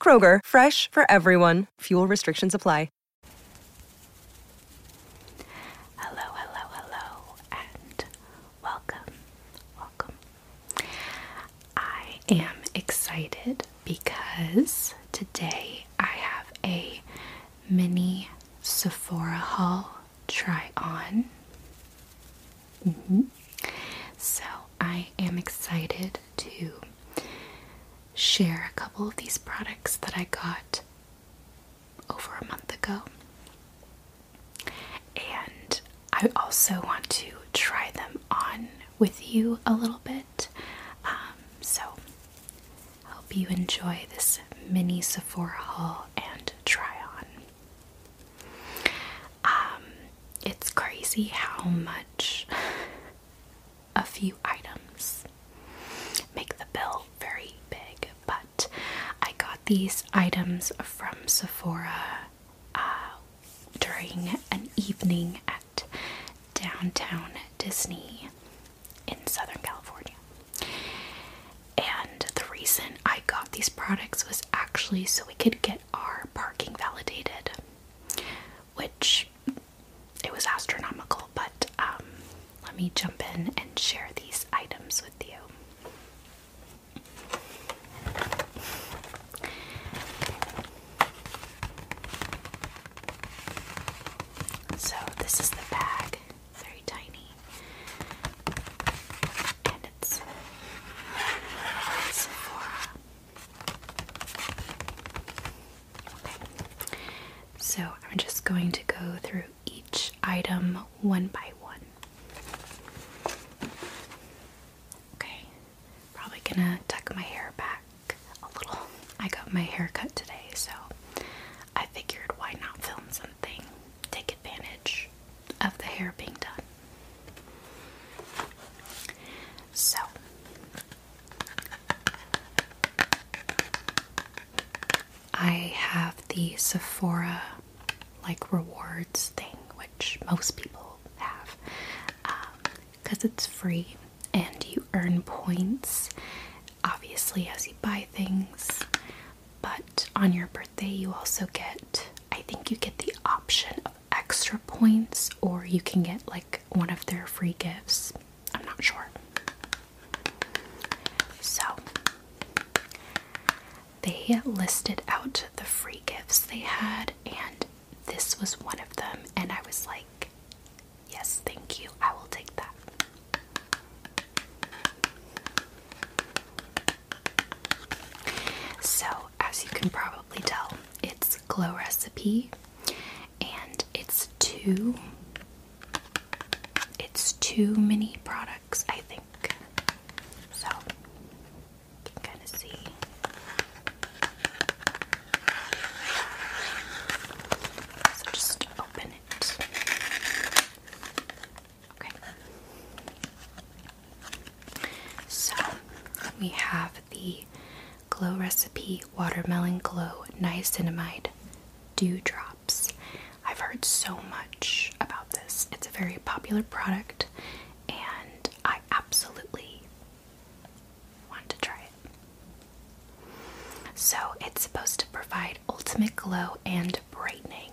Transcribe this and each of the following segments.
Kroger, fresh for everyone. Fuel restrictions apply. Hello, hello, hello, and welcome. Welcome. I am excited because today I have a mini Sephora haul try on. Mm-hmm. So I am excited to share a couple of these products that I got over a month ago. And I also want to try them on with you a little bit. Um, so, hope you enjoy this mini Sephora haul and try on. Um, it's crazy how much a few items make the bill very big, but I got these items from Sephora uh, during an evening at downtown Disney in Southern California. And the reason I got these products was actually so we could get our parking validated which it was astronomical, but um, let me jump in and share these items with you. So, this is the bag, very tiny, and it's Sephora. So I'm just going to go through each item one by one. Okay. Probably gonna tuck my hair back a little. I got my hair cut today, so I figured why not film something? Take advantage of the hair being done. So I have the Sephora like rewards thing, which most people have, because um, it's free and you earn points obviously as you buy things. But on your birthday, you also get, I think you get the option of extra points or you can get like one of their free gifts. I'm not sure. So they listed out the free gifts they had, and this was one of them. And I was like, Yes, thank you. I will take that. So, as you can probably tell, it's Glow Recipe and it's two it's two mini products, I think. So, kind of see. So just open it. Okay. So we have the Glow Recipe Watermelon Glow Niacinamide Drops. I've heard so much about this. It's a very popular product, and I absolutely want to try it. So, it's supposed to provide ultimate glow and brightening.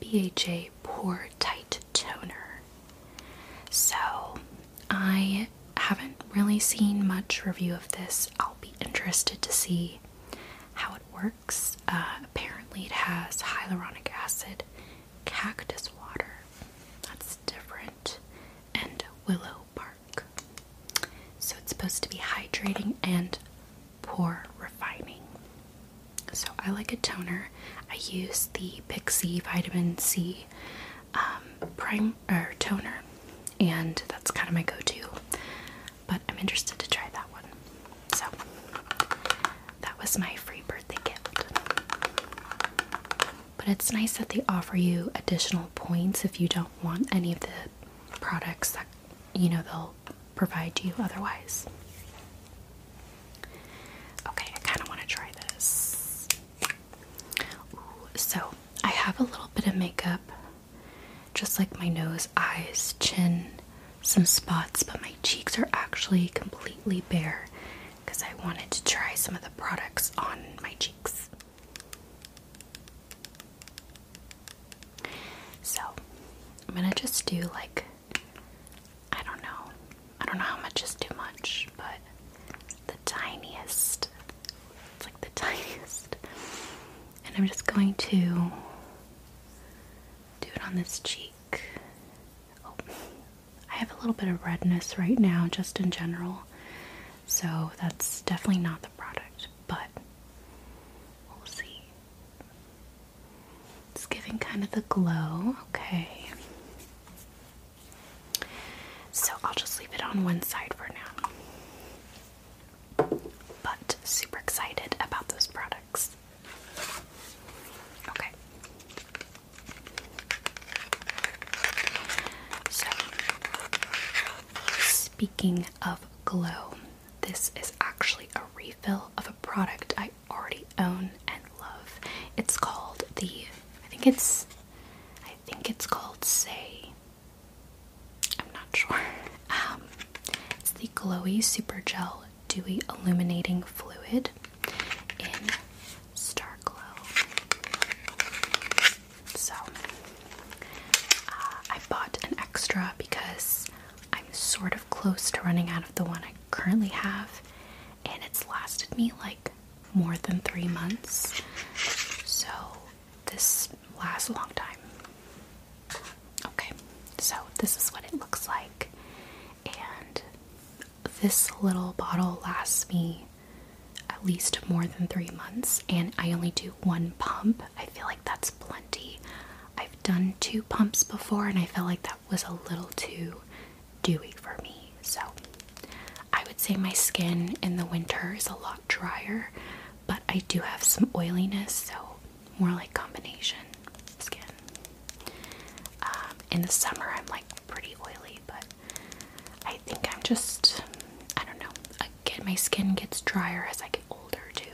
BHA Pore Tight Toner. So, I haven't really seen much review of this. I'll be interested to see how it works. Uh, apparently, it has hyaluronic acid, cactus water, that's different, and willow bark. So, it's supposed to be hydrating and pore refining. So I like a toner. I use the Pixie Vitamin C um, prime or toner, and that's kind of my go-to. But I'm interested to try that one. So that was my free birthday gift. But it's nice that they offer you additional points if you don't want any of the products that you know they'll provide you otherwise. Okay, I kind of want to try this. so, I have a little bit of makeup, just like my nose, eyes, chin, some spots, but my cheeks are actually completely bare because I wanted to try some of the products on my cheeks. So, I'm gonna just do like I don't know. I don't know how much is too much, but the tiniest. It's like the tiniest. And I'm just going to do it on this cheek. Oh, I have a little bit of redness right now, just in general. So that's definitely not the product, but we'll see. It's giving kind of the glow. Okay. So I'll just leave it on one side for now. But super excited about those products. Okay. So, speaking of glow, this is actually a refill of a product I already own and love. It's called the I think it's I think it's called Say. I'm not sure. Um, it's the Glowy Super Gel Dewy Illuminating Fluid in Star Glow. So uh, I bought an extra because I'm sort of close to running out of the one I currently have, and it's lasted me like more than three months. So this lasts a long time. Okay, so this is what it looks like, and this little bottle lasts me at least more than three months, and I only do one pump. I feel like that's plenty done two pumps before and I felt like that was a little too dewy for me. So I would say my skin in the winter is a lot drier, but I do have some oiliness, so more like combination skin. Um, in the summer, I'm like pretty oily, but I think I'm just, I don't know, again, my skin gets drier as I get older too.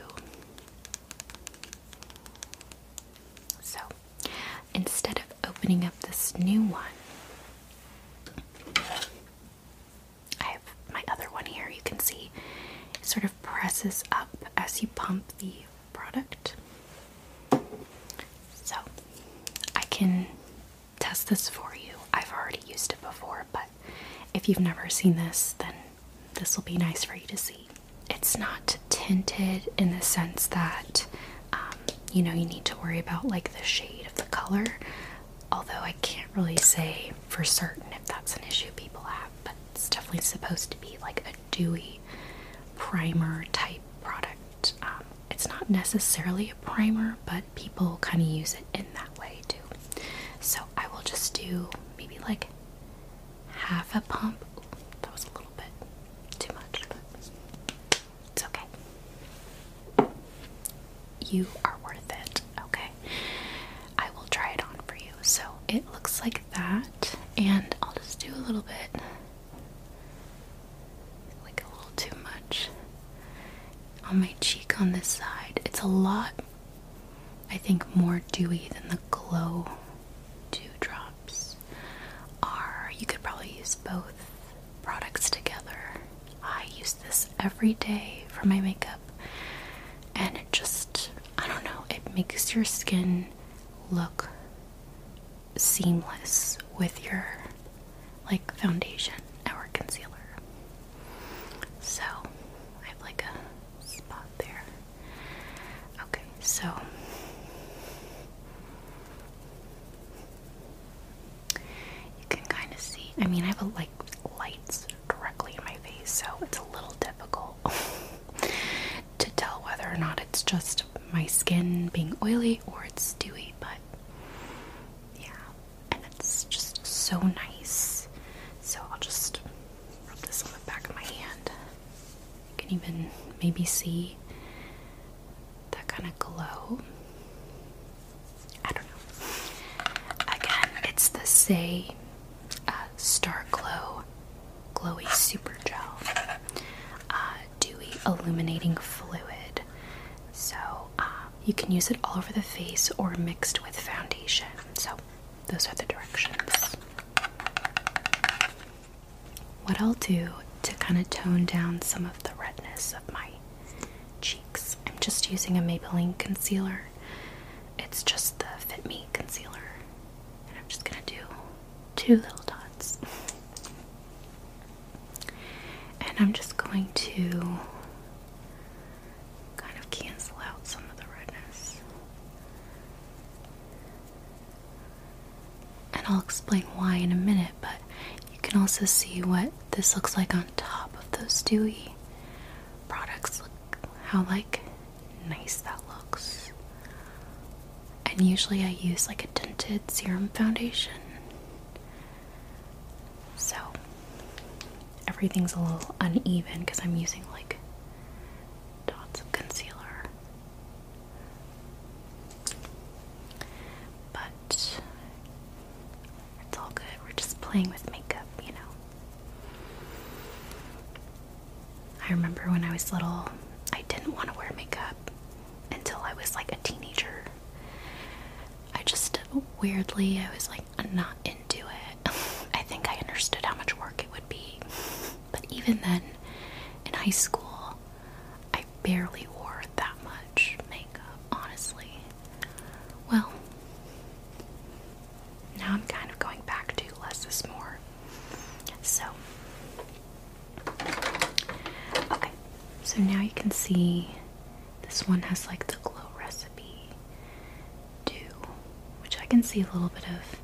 So instead of opening up this new one, I have my other one here. You can see it sort of presses up as you pump the product. So I can test this for you. I've already used it before, but if you've never seen this, then this will be nice for you to see. It's not tinted in the sense that um, you know you need to worry about like the shade of the color, although I can't really say for certain if that's an issue people have, but it's definitely supposed to be like a dewy primer type product. Um, it's not necessarily a primer, but people kind of use it in that way too. So I will just do maybe like half a pump. that was a little bit too much, but it's okay. You are worth it, okay? I will try it on for you. So it looks like that, and I'll just do a little bit like a little too much on my cheek on this side. It's a lot I think more dewy than the glow dewdrops are. You could probably use both products together. I use this every day for my makeup, and it just, I don't know, it makes your skin look seamless with your like foundation or concealer. So I have like a spot there. Okay, so you can kind of see. I mean, I have like lights directly in my face, so it's a little difficult to tell whether or not it's just my skin being oily or it's dewy, but yeah, and it's just so nice. So I'll just rub this on the back of my hand. You can even maybe see that kind of glow. I don't know. Again, it's the same uh, Star Glow Glowy Super Gel uh, Dewy Illuminating Fluid. So uh, you can use it all over the face or mixed with foundation. So those are the directions. What I'll do to kind of tone down some of the redness of my cheeks, I'm just using a Maybelline concealer. It's just the Fit Me concealer. And I'm just going to do two little dots. And I'm just going to kind of cancel out some of the redness. And I'll explain why in a minute, but you can also see what this looks like on top of those dewy products. Look how like nice that looks. And usually I use like a tinted serum foundation. So everything's a little uneven because I'm using like dots of concealer. But it's all good. We're just playing with makeup, you know. I remember when I was little, I didn't want to wear makeup until I was like a teenager. I just weirdly, I was like, not into it. I think I understood how much work it would be. But even then, in high school, I barely wore that much makeup, honestly. Well, now I'm kind of going back to less is more. So, okay, so now you can see this one has like the glow recipe, do, which I can see a little bit of.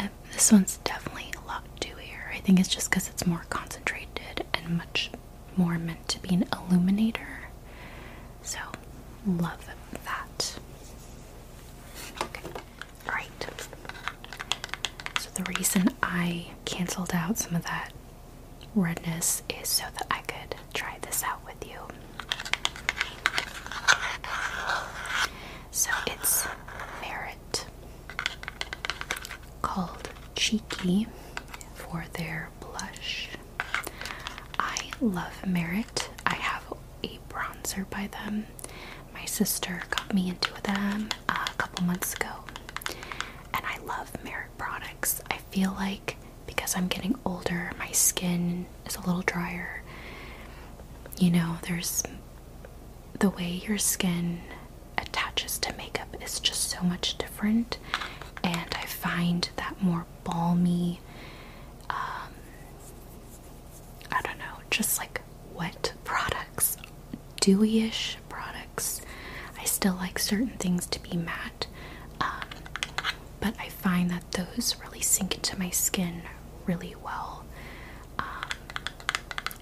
Um, this one's definitely a lot dewier. I think it's just because it's more concentrated and much more meant to be an illuminator. So, love that. Okay, alright. So, the reason I cancelled out some of that redness is so that I could try this out with you. So it's Merit called Cheeky for their blush. I love Merit. I have a bronzer by them. My sister got me into them a couple months ago, and I love Merit products. I feel like because I'm getting older, my skin is a little drier. You know, there's the way your skin attaches to makeup is just so much different, and I find that more balmy, um, I don't know, just like wet products, dewy-ish products. I still like certain things to be matte. Um, but I find that those really sink into my skin really well um,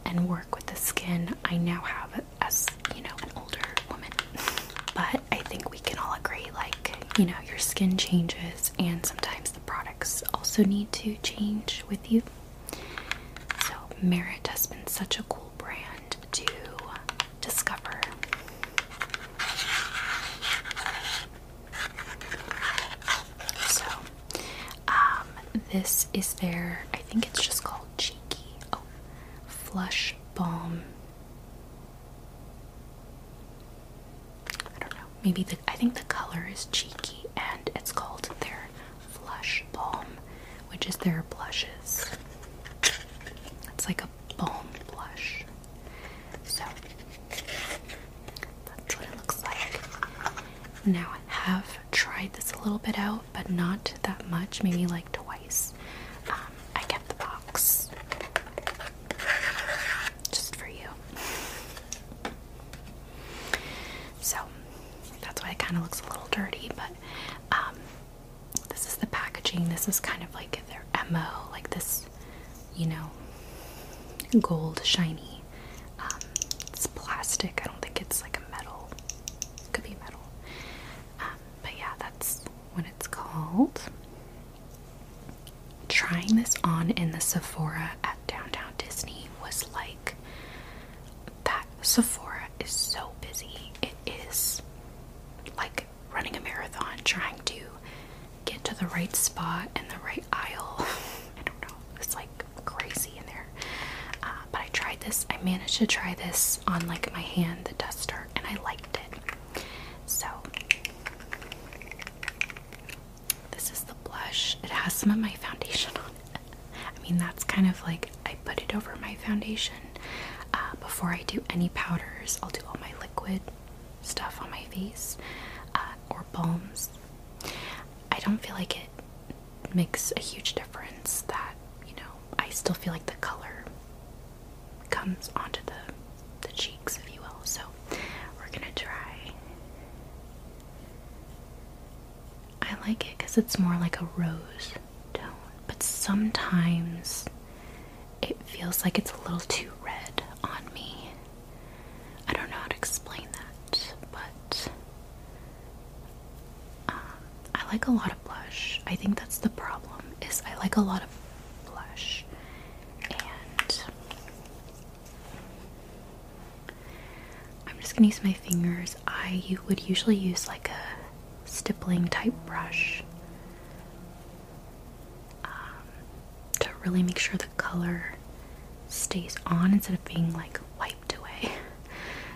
and work with the skin I now have as you know an older woman. but I think we can all agree, like you know, your skin changes, and sometimes the products also need to change with you. So Merit has been such a cool brand to discover. So, um, this is their, I think it's just called Cheeky. Oh, Flush Balm. I don't know. Maybe the, I think the color is cheeky and it's called their Flush Balm, which is their blushes. It's like a blush. So that's what it looks like. Now I have tried this a little bit out, but not that much, maybe like twice. Um, I kept the box just for you. So that's why it kind of looks a little dirty, but um, this is the packaging. This is kind of like their MO, like this, you know, gold shiny. Um, it's plastic. I don't think it's like a metal. It could be metal. Um, but yeah, that's what it's called. Trying this on in the Sephora at Downtown Disney was like that Sephora is so busy. It is like running a marathon, trying to get to the right spot in the right aisle. I don't know, it's like crazy in there. Uh, but I tried this, I managed to try this on like my hand, the duster, and I liked it. So, this is the blush, it has some of my foundation on it. I mean, that's kind of like I put it over my foundation. Uh, before I do any powders, I'll do all my liquid stuff on my face uh, or balms. I don't feel like it makes a huge difference that, you know, I still feel like the color comes onto the, the cheeks, if you will. So we're gonna try. I like it because it's more like a rose tone, but sometimes it feels like it's a little too red on me. I don't know how to explain that, but um, I like a lot of blush. I think that's the problem. Is I like a lot of blush, and I'm just gonna use my fingers. I would usually use like a stippling type brush. Um, to really make sure the color stays on instead of being like wiped away.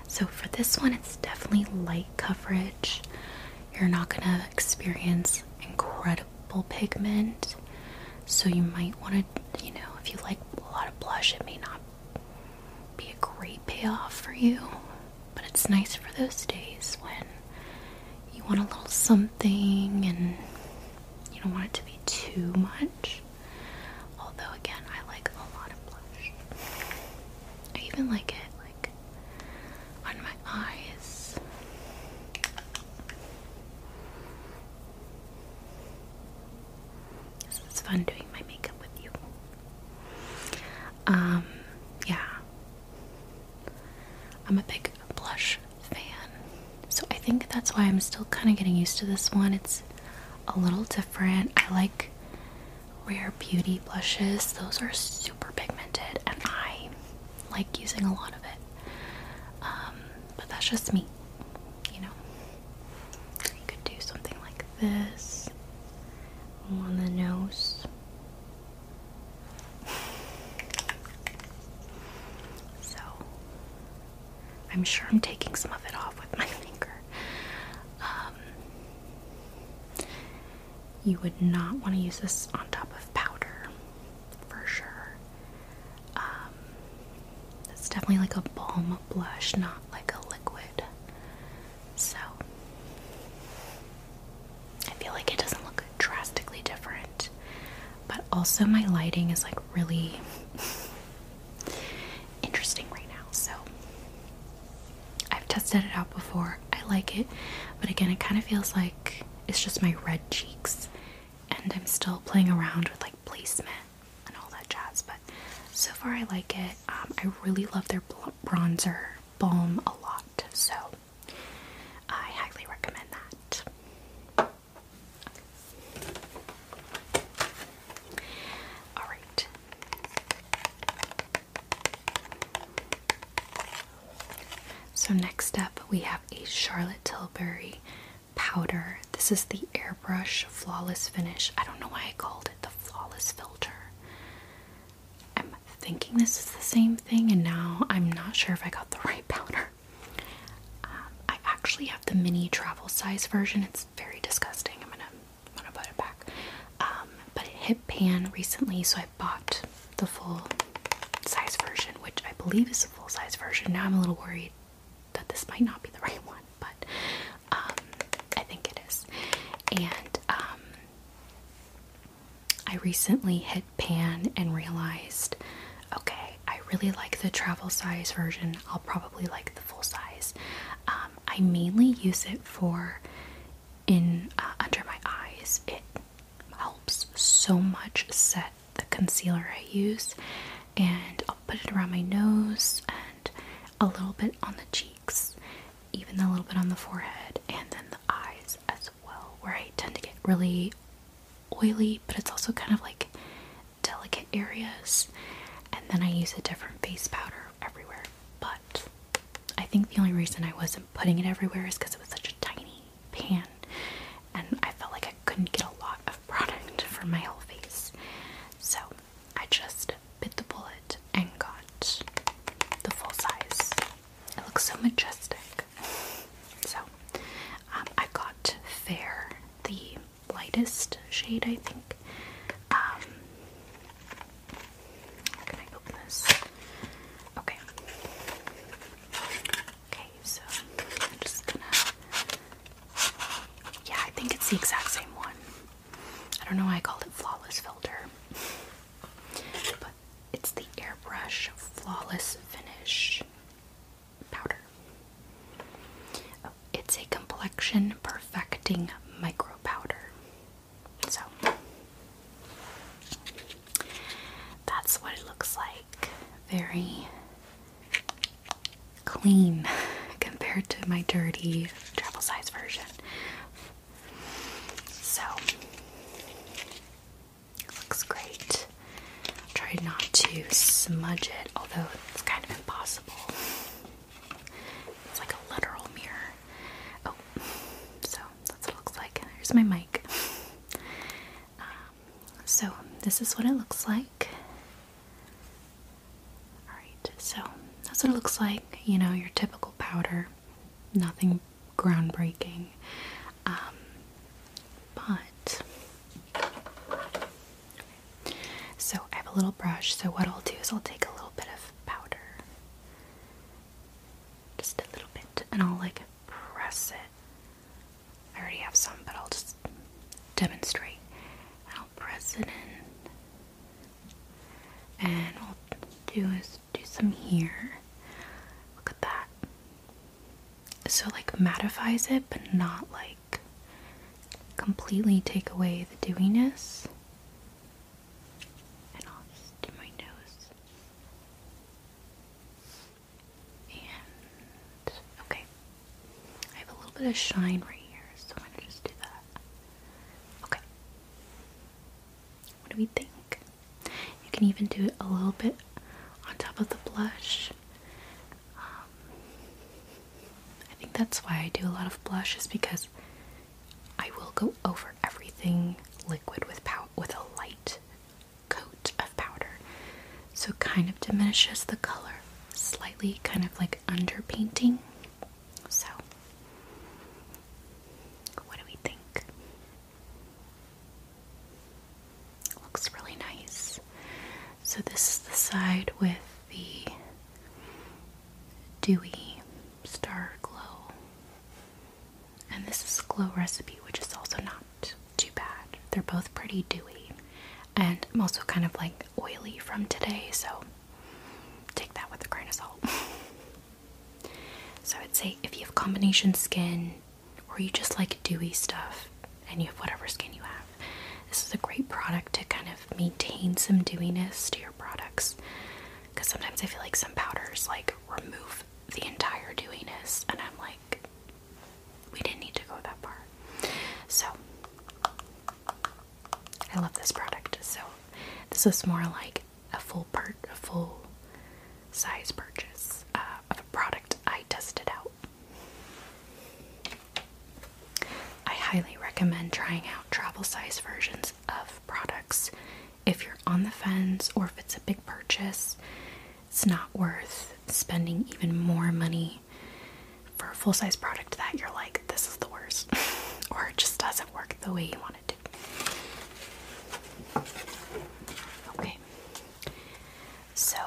So for this one, it's definitely light coverage. You're not gonna experience incredible pigment, so you might want to, you know, if you like a lot of blush, it may not be a great payoff for you. But it's nice for those days when you want a little something and you don't want it to be too much. Although, again, I like a lot of blush. I even like it like on my eyes. So it's fun doing my makeup with you. Um, yeah, I'm a big blush fan, so I think that's why I'm still kind of getting used to this one. It's a little different. I like rare beauty blushes, those are super pigmented, and I like using a lot of it. Um, but that's just me, you know. You could do something like this on the nose. So, I'm sure I'm taking some of it off with my finger. Um, you would not want to use this on top of powder for sure. Um, it's definitely like a balm blush, not like a liquid. So I feel like it doesn't look drastically different, but also my lighting is like really interesting right now. So I've tested it out before. I like it, but again, it kind of feels like it's just my red cheeks, and I'm still playing around with like placement and all that jazz. But so far, I like it. Um, I really love their blonde bronzer balm a lot, so I highly recommend that. All right. So next up we have a Charlotte Tilbury powder. This is the airbrush flawless finish. I don't know why I called it the flawless filter. I'm thinking this is the same thing, and now I'm not sure if I got the right powder. Um, I actually have the mini travel size version. It's very disgusting. I'm gonna, I'm gonna put it back. Um, but it hit pan recently, so I bought the full size version, which I believe is the full size version. Now I'm a little worried that this might not be the right one, but um, I think it is. And I recently hit pan and realized okay, I really like the travel size version. I'll probably like the full size. Um, I mainly use it for in uh, under my eyes. It helps so much set the concealer I use, and I'll put it around my nose and a little bit on the cheek even a little bit on the forehead, and then the eyes as well, where I tend to get really oily, but it's also kind of like delicate areas. And then I use a different face powder everywhere. But I think the only reason I wasn't putting it everywhere is because it was such a tiny pan and I felt like I couldn't get a lot of product for my whole face. So I just bit the bullet and got the full size. It looks so majestic. So, um, I got Fair, the lightest shade, I think. Um, can I open this? Okay. Okay, so I'm just gonna. Yeah, I think it's the exact same one. I don't know why I called it Flawless Filter. But it's the Airbrush Flawless Finish Powder. Oh, it's a complexion perfecting micro powder. So that's what it looks like. Very clean compared to my dirty travel size version. So looks great. Try not to smudge it, although it's kind of impossible. It's like a literal mirror. Oh, so that's what it looks like. Here's my mic. Um, so this is what it looks like. Alright, so that's what it looks like. You know, your typical powder, nothing groundbreaking. Um, but. So I have a little brush, so what I'll do is I'll take a little bit of powder. Just a little bit, and I'll like press it. I already have some, but I'll just demonstrate. And I'll press it in and what will do is do some here. Look at that. So, like, mattifies it, but not like completely take away the dewiness. And I'll just do my nose. And okay, I have a little bit of shine right here, so I'm gonna just do that. Okay, what do we think? You can even do it a little bit on top of the blush. Um, I think that's why I do a lot of blush is because I will go over everything liquid with pow with a light coat of powder. So it kind of diminishes the color slightly, kind of like underpainting. So, what do we think? Looks really nice. So, this is the side with the dewy star glow. And this is Glow Recipe, which is also not too bad. They're both pretty dewy. And I'm also kind of like oily from today, so take that with a grain of salt. so I'd say if you have combination skin or you just like dewy stuff and you have whatever skin you have, this is a great product to kind of maintain some dewiness to your products. Because sometimes I feel like some powders like remove the entire dewiness, and I'm like, we didn't need to go that far. So, I love this product. So this was more like a full part, a full size purchase uh, of a product I tested out. I highly recommend trying out travel size versions of products if you're on the fence or if it's a big purchase. It's not worth spending even more money for a full size product that you're like, this is the worst, or it just doesn't work the way you want it to. Okay. So,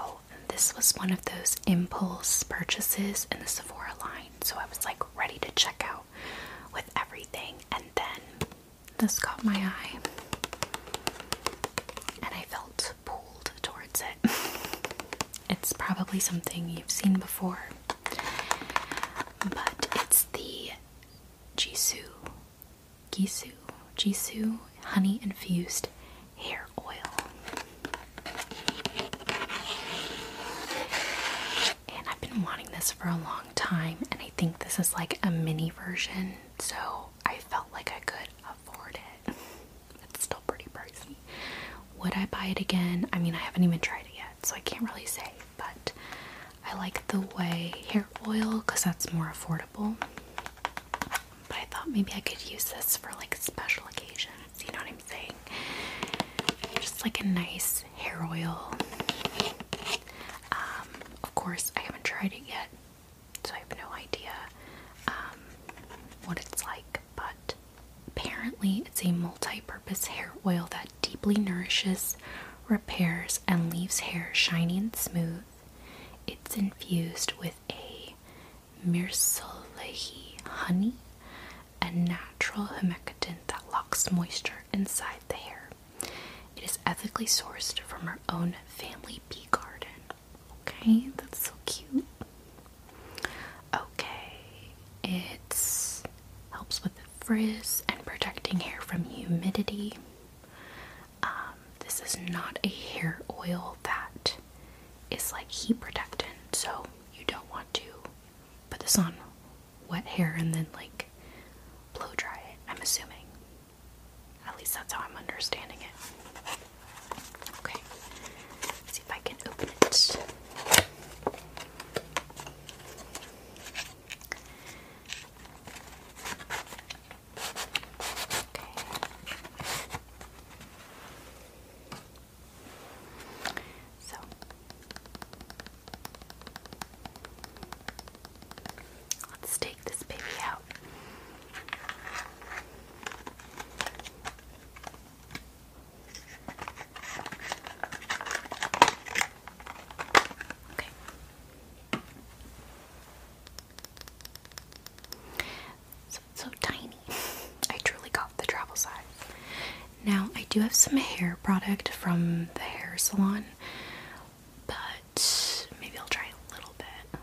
this was one of those impulse purchases in the Sephora line. So, I was like ready to check out with everything, and then this caught my eye, and I felt pulled towards it. It's probably something you've seen before, but it's the Gisu, Gisu, Gisu honey infused hair oil. And I've been wanting this for a long time, and I think this is like a mini version, so I felt like I could afford it. It's still pretty pricey. Would I buy it again? I mean, I haven't even tried it yet, so I can't really say, but I like the way hair oil because that's more affordable. But I thought maybe I could use this for like special occasions, you know what I'm saying? Just like a nice hair oil. Um, of course, I haven't tried it yet, so I have no idea um, what it's like, but Apparently, it's a multi purpose hair oil that deeply nourishes, repairs, and leaves hair shiny and smooth. It's infused with a mirsalehi honey, and natural humectant that locks moisture inside the hair. It is ethically sourced from our own family bee garden. Okay, that's so cute. Okay, it helps with the frizz and protecting hair from humidity. Um, this is not a hair oil that is like heat protectant, so you don't want to put this on wet hair and then like blow dry it. I'm assuming. At least that's how I'm understanding it. Okay. I can open it. let's take this baby out. So so tiny. I truly got the travel size. Now I do have some hair product from the hair salon, but maybe I'll try a little bit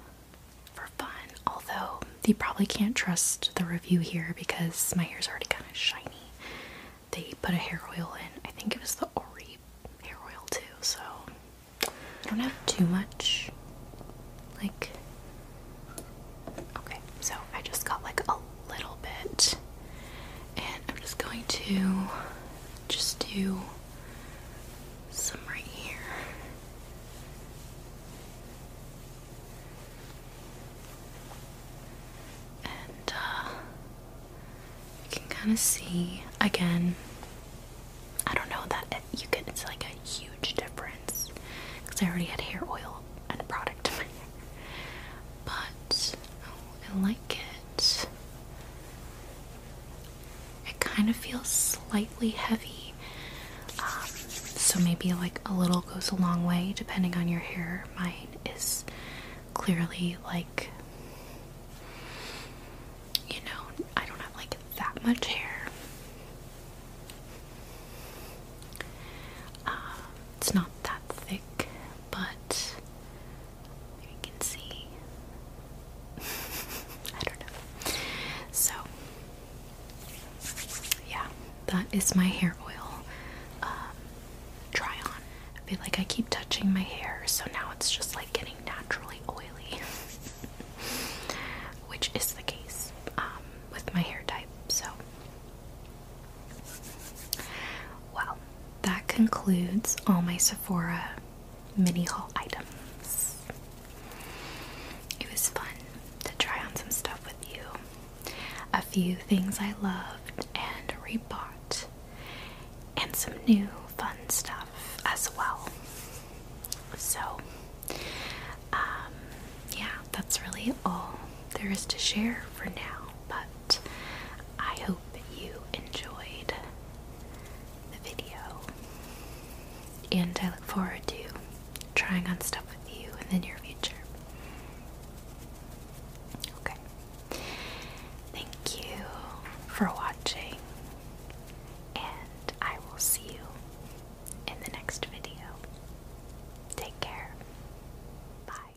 for fun. Although you probably can't trust the review here because my hair's already kind of shiny. They put a hair oil in. I think it was the Ori hair oil too, so I don't have too much. Like, okay, so I just got like a little bit, and I'm just going to just do some right here. And uh, you can kind of see again. I don't know that it, you can. it's like a huge difference because I already had hair oil and product in my But oh, I like it. It kind of feels slightly heavy, um, so maybe like a little goes a long way depending on your hair. Mine is clearly like, you know, I don't have like that much hair. Um, it's not that thick, but you can see. I don't know. So, yeah, that is my hair oil try um, on. I feel like I keep touching my hair, so now it's just like getting naturally oily, which is the case um, with my hair type. So, well, that concludes all my Sephora mini haul items. It was fun to try on some stuff with you a few things I loved and rebought, and some new fun stuff as well. So, um, yeah, that's really all there is to share for now, but I hope you enjoyed the video. And I look forward to trying on stuff with you in the near future. Okay. Thank you for watching, and I will see you in the next video. Take care. Bye.